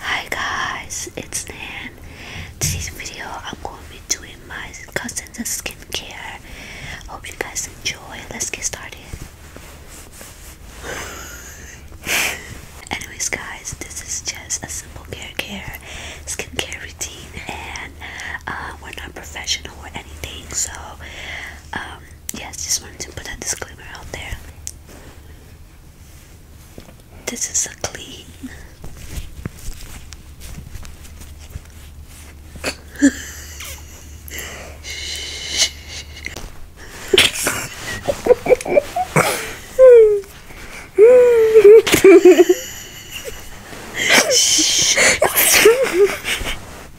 Hi guys, it's Nan. Today's video I'm going to be doing my cousin's skincare. Hope you guys enjoy. Let's get started. Anyways guys, this is just a simple hair care, skincare routine and uh, we're not professional or anything so um, yes, just wanted to put that disclaimer out there. This is a clean.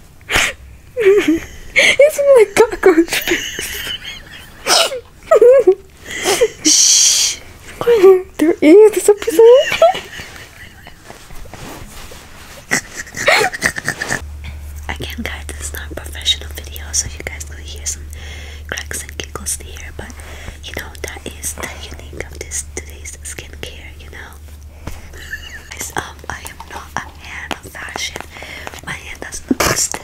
it's my cockroach face. Shh. Quiet. There is this episode. Again, guys, this not a professional video, so you guys could hear some cracks and giggles here, but you know that is the unique of this today's skincare. You know, um, I am not a fan of fashion. My hand does not rest.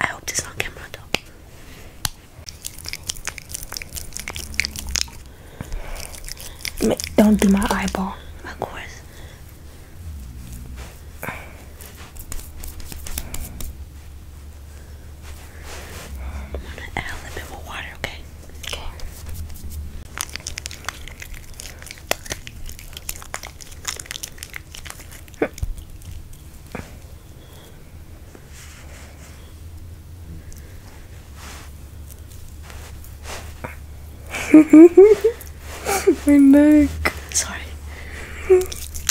I hope this not camera Don't do my eyeball. Of course. I'm gonna add a bit more water, okay? Okay. My neck. Sorry.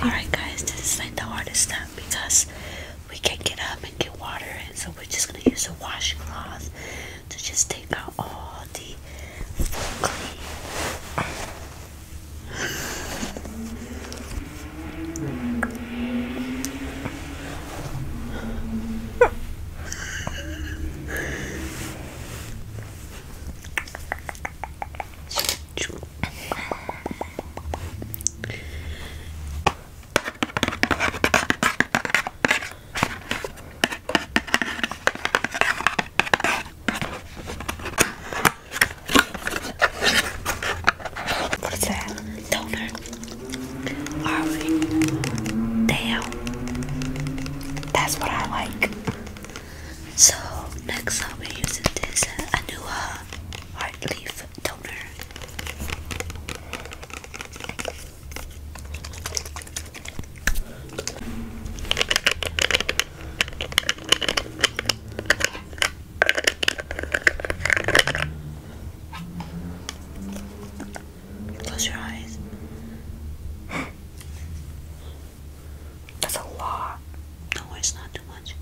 Alright guys, this is like the hardest step because we can't get up and get water and so we're just gonna use a washcloth to just take out all the What's that? Dover. Harvey. Damn. That's what I like. So next I'll be using this uh, Heart Leaf Toner. Close your eyes. That's a lot. No, it's not too much.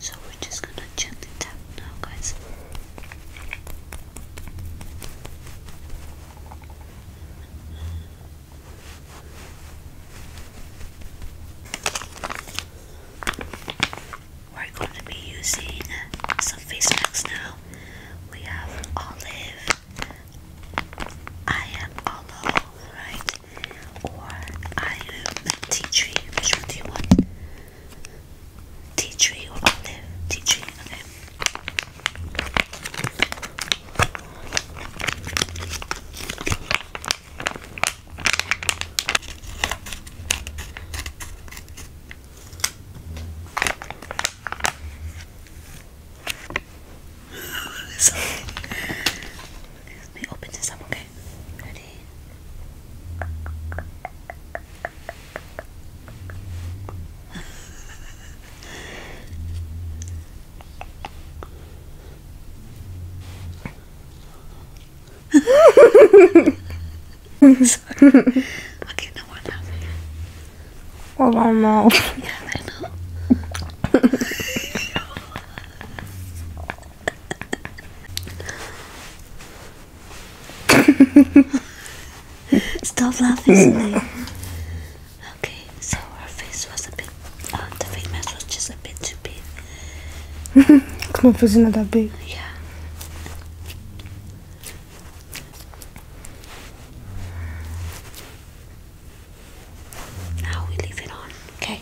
So we're just gonna gently tap now, guys. We're going to be using some face masks now. We have olive, I am aloe, right? Or I am tea tree. Which one do you want? Tea tree or olive? Tea tree, okay. Let me open this up, okay? Ready? okay, no one else. Well, I don't know. Yeah, I know. Stop laughing, Snape. Okay, so her face was a bit. Uh, the face mask was just a bit too big. Come on, face is not that big. Yeah. Now we leave it on. Okay.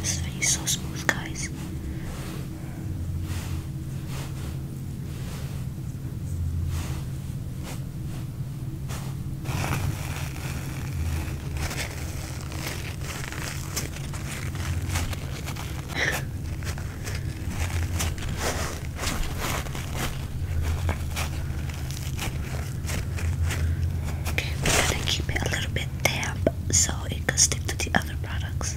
This video is so smooth, guys. Okay, we're gonna keep it a little bit damp so it can stick to the other products.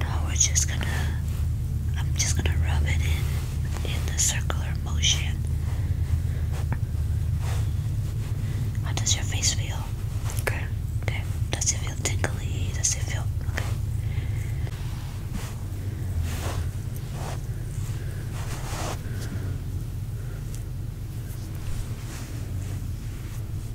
Now we're just gonna, I'm just gonna rub it in, in the circular motion. How does your face feel? Okay. Okay. Does it feel tingly? Does it feel Okay.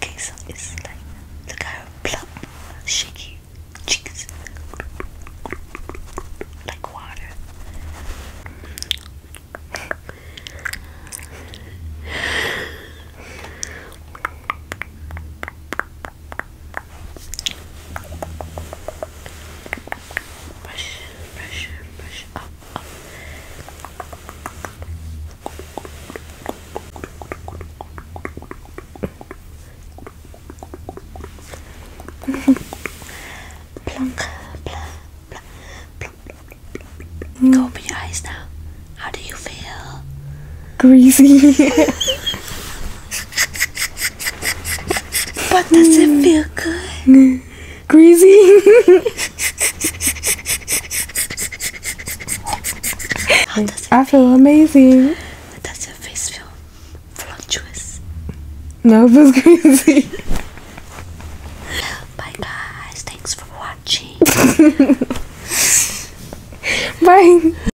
Okay, so it's like, look at plump, shaky cheeks, like water. Brush, brush, brush up, Open your eyes now. How do you feel? Greasy. But does it mm. feel good? Mm. Greasy. How does it I feel amazing. Does your face feel voluptuous? No, it greasy. Bye guys, thanks for watching. Bye.